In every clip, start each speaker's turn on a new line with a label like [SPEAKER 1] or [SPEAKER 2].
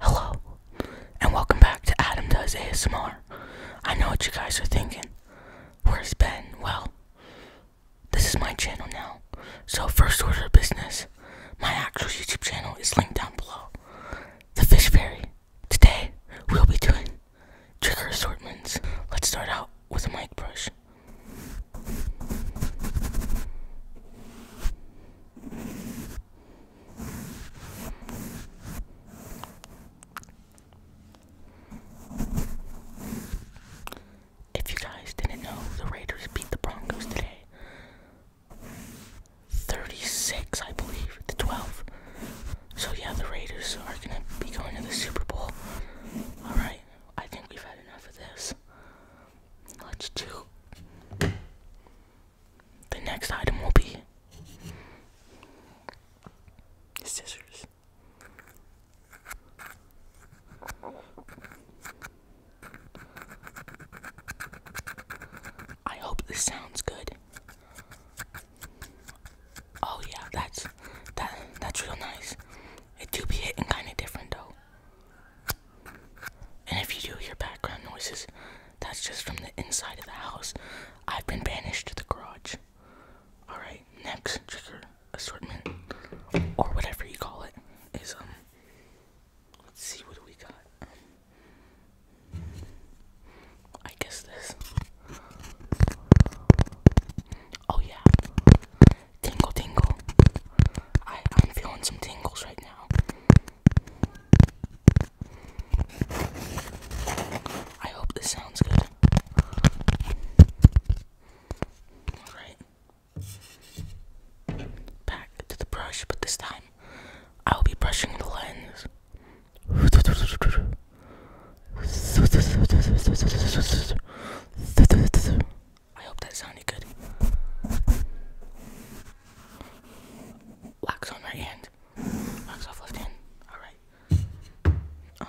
[SPEAKER 1] Hello, and welcome back to Adam Does ASMR. I know what you guys are thinking. Where's Ben? Well, this is my channel now. So, first order of business, my actual YouTube channel is linked down below. The Fish Fairy. Today, we'll be doing trigger assortments. Let's start out with a mic brush. If you guys didn't know, the Raiders beat the Broncos today. 36, I believe, to 12. So, yeah, the Raiders are going to be going to the Super Bowl. Alright, I think we've had enough of this. Let's do the next item will be scissors. I hope this sounds good. Oh yeah, that's that that's real nice. It do be hitting kinda different though. And if you do hear background noises, that's just from the inside of the house. I've been banished to the garage. Alright, next trigger assortment, or whatever you call it, is, um, let's see what we got. I guess this. Oh, yeah. Tingle, tingle. I, I'm feeling some tingles right now. I hope this sounds good. Alright. Back to the brush, but this time I will be brushing the lens. I hope that sounded good. Wax on right hand. Wax off left hand. Alright. Um,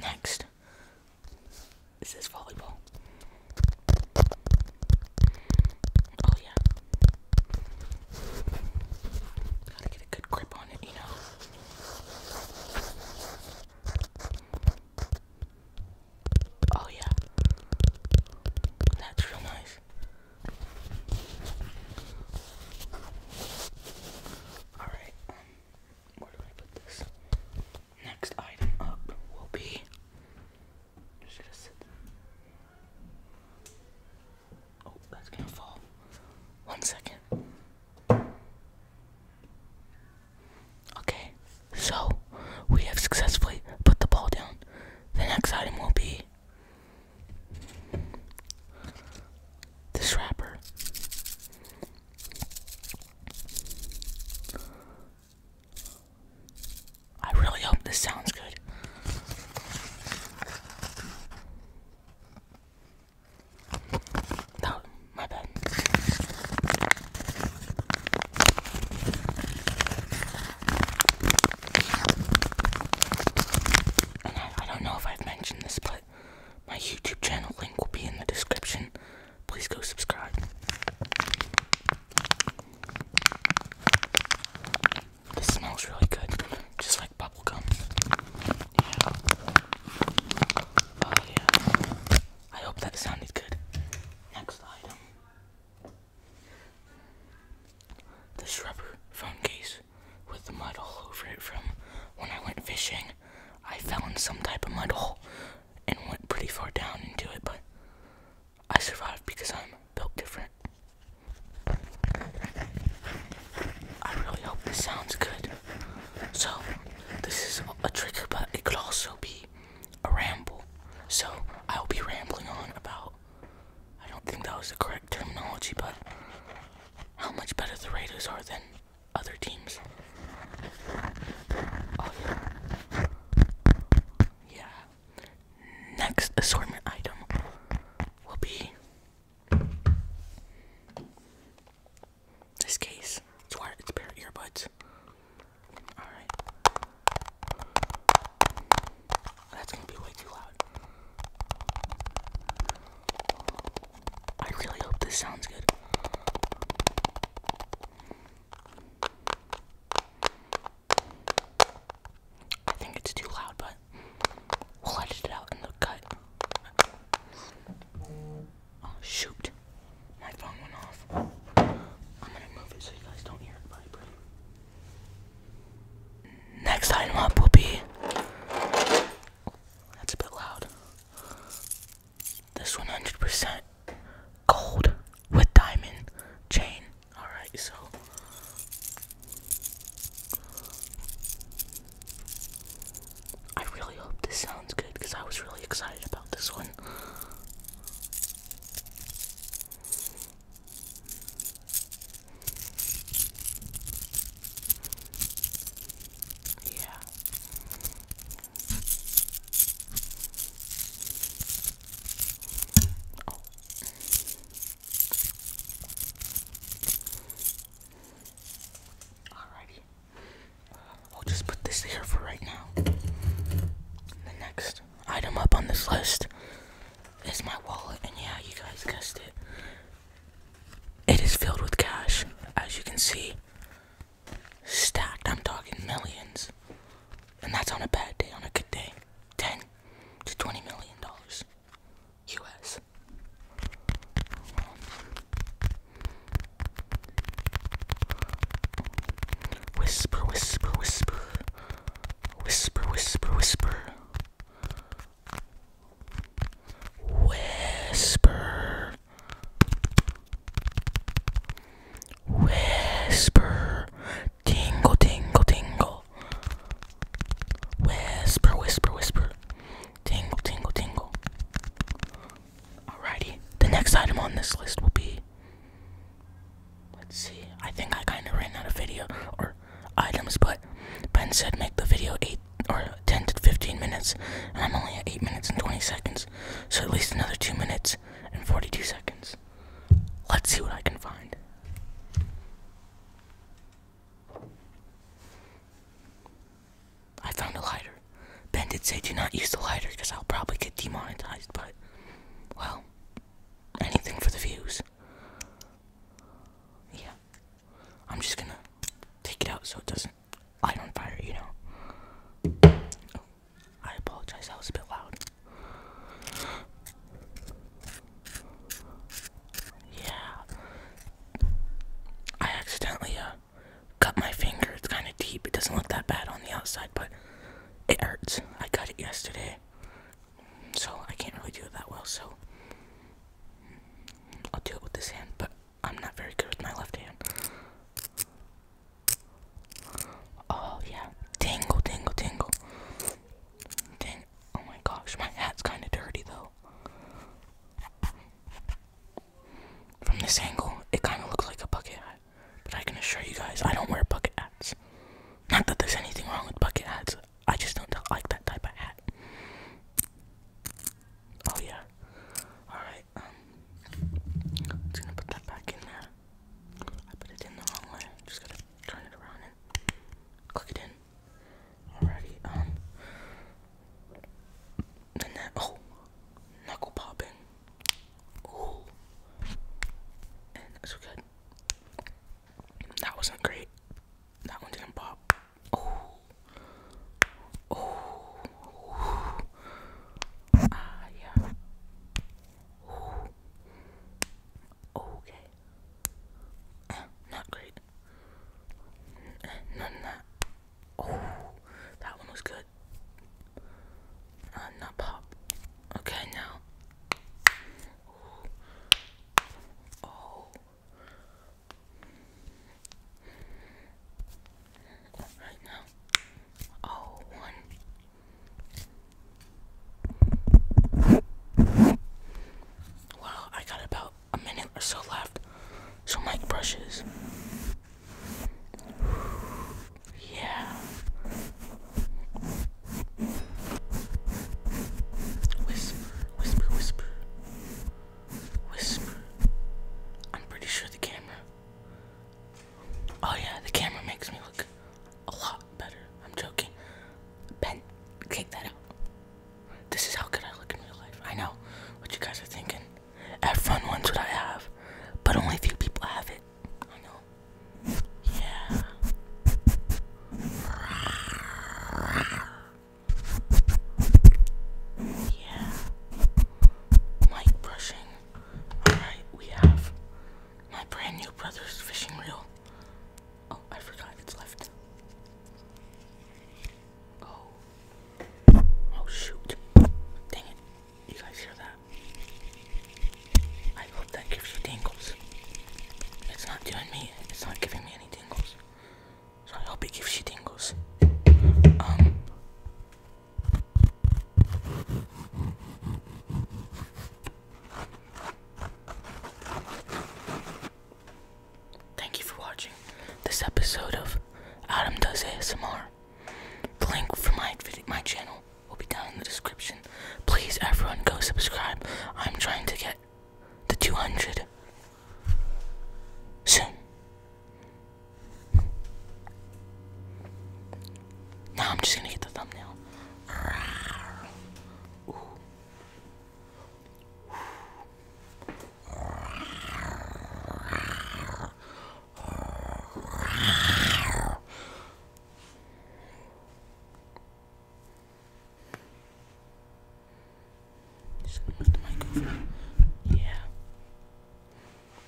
[SPEAKER 1] next is volleyball. Oh yeah. Gotta get a good grip on it, you know. Oh yeah. That's real nice. Alright, um, where do I put this? Next item up will be Oh, that's gonna fall. One second. Okay, so we have successfully put the ball down. The next item will be this wrapper. I really hope this sounds good. That, my bad. And I, don't know if I've mentioned this, but my YouTube channel link will be in the description. Please go subscribe. This smells really good, just like bubblegum. Yeah. Oh, yeah. I hope that sounded good. Next item. This rubber phone case with the mud all over it from when I went fishing. I fell in some type of mud hole and went pretty far down into it, but I survived because I'm built different. I really hope this sounds good. So, this is a trick, but it could also be a ramble. So, I will be rambling on about. I don't think that was the correct terminology, but how much better the Raiders are than other teams. Oh, yeah. Next assortment item will be this case. It's wire it's a pair of earbuds. Alright. That's gonna be way too loud. I really hope this sounds good. I think it's too loud, but we'll edit it out in the cut. Oh, shoot. My phone went off. I'm going to move it so you guys don't hear it vibrate. Next item up will be. That's a bit loud. This 100% gold with diamond chain. Alright, so. I really hope this sounds good because I was really excited about this one. Yeah. Oh. Alrighty. We'll just put this here for right now. The next item up on this list is my wallet, and yeah, you guys guessed it. It is filled with cash, as you can see. Stacked, I'm talking millions. And that's on a bad day, on a good day. 10 to 20 million dollars US. Whisper, whisper, whisper. Whisper, whisper, whisper. Whisper. Whisper. Tingle, tingle, tingle. Whisper, whisper, whisper. Tingle, tingle, tingle. Alrighty, the next item on this list will be. Let's see, I think I kind of ran out of video or items, but Ben said make the video 8 or 10 to 15 minutes, and I'm only at 8 minutes and 20 seconds, so at least another 2 minutes and 42 seconds. Let's see what I can find. I found a lighter. Ben did say do not use the lighter because I'll probably get demonetized, but, well, anything for the views. Yeah. I'm just gonna take it out so it doesn't light on fire, you know. Oh, I apologize, that was a bit loud. Yeah. I accidentally, uh, cut my finger. It's kind of deep. It doesn't look that bad on the outside, but it hurts. I cut it yesterday, so I can't really do it that well. So I'll do it with this hand, but I'm not very good with my left hand. Oh yeah, tingle, tingle, tingle. Dang! Oh my gosh, my hat's kind of dirty though. From this angle, it kind of looks like a bucket hat, but I can assure you guys, I don't wear bucket hats. Not that there's anything wrong with bucket hats, I just don't like that type of hat. Oh yeah. Alright, um, i gonna put that back in there. I put it in the wrong way. Just gotta turn it around and click it in. Alrighty, um and that oh knuckle popping. Ooh. And that's good. That wasn't great. That one didn't pop. Oh. Oh. Ah, yeah. Ooh. Okay. Uh, not great. None that. Oh, that one was good. Uh, not pop. Okay, now. Oh. Right now. Oh, one. Wow, I got about a minute or so left. So Mike brushes. Yeah. Whisper, whisper, whisper. Whisper. I'm pretty sure the camera. Oh, yeah, the camera makes me look a lot better. I'm joking. Ben, take that out. This is how good I look in real life. I know what you guys are thinking. Everyone wants what I have, but only a few people have it. I know. Yeah. Yeah. Mic brushing. Alright, we have my brand new brother's fishing reel. Oh, I forgot it's left. Oh. Oh shoot. Dang it. You guys hear that? I hope that gives you tingles. It's not doing me, it's not giving me any tingles. So I hope it gives you tingles. Um. Thank you for watching this episode of Adam Does ASMR. The link for my my channel will be down in the description. Please, everyone, go subscribe. I'm trying to get the 200 soon. Now I'm just gonna get the thumbnail. Just gonna move the mic over. Yeah.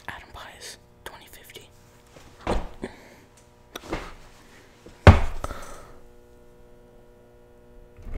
[SPEAKER 1] Adam Pius, 2050.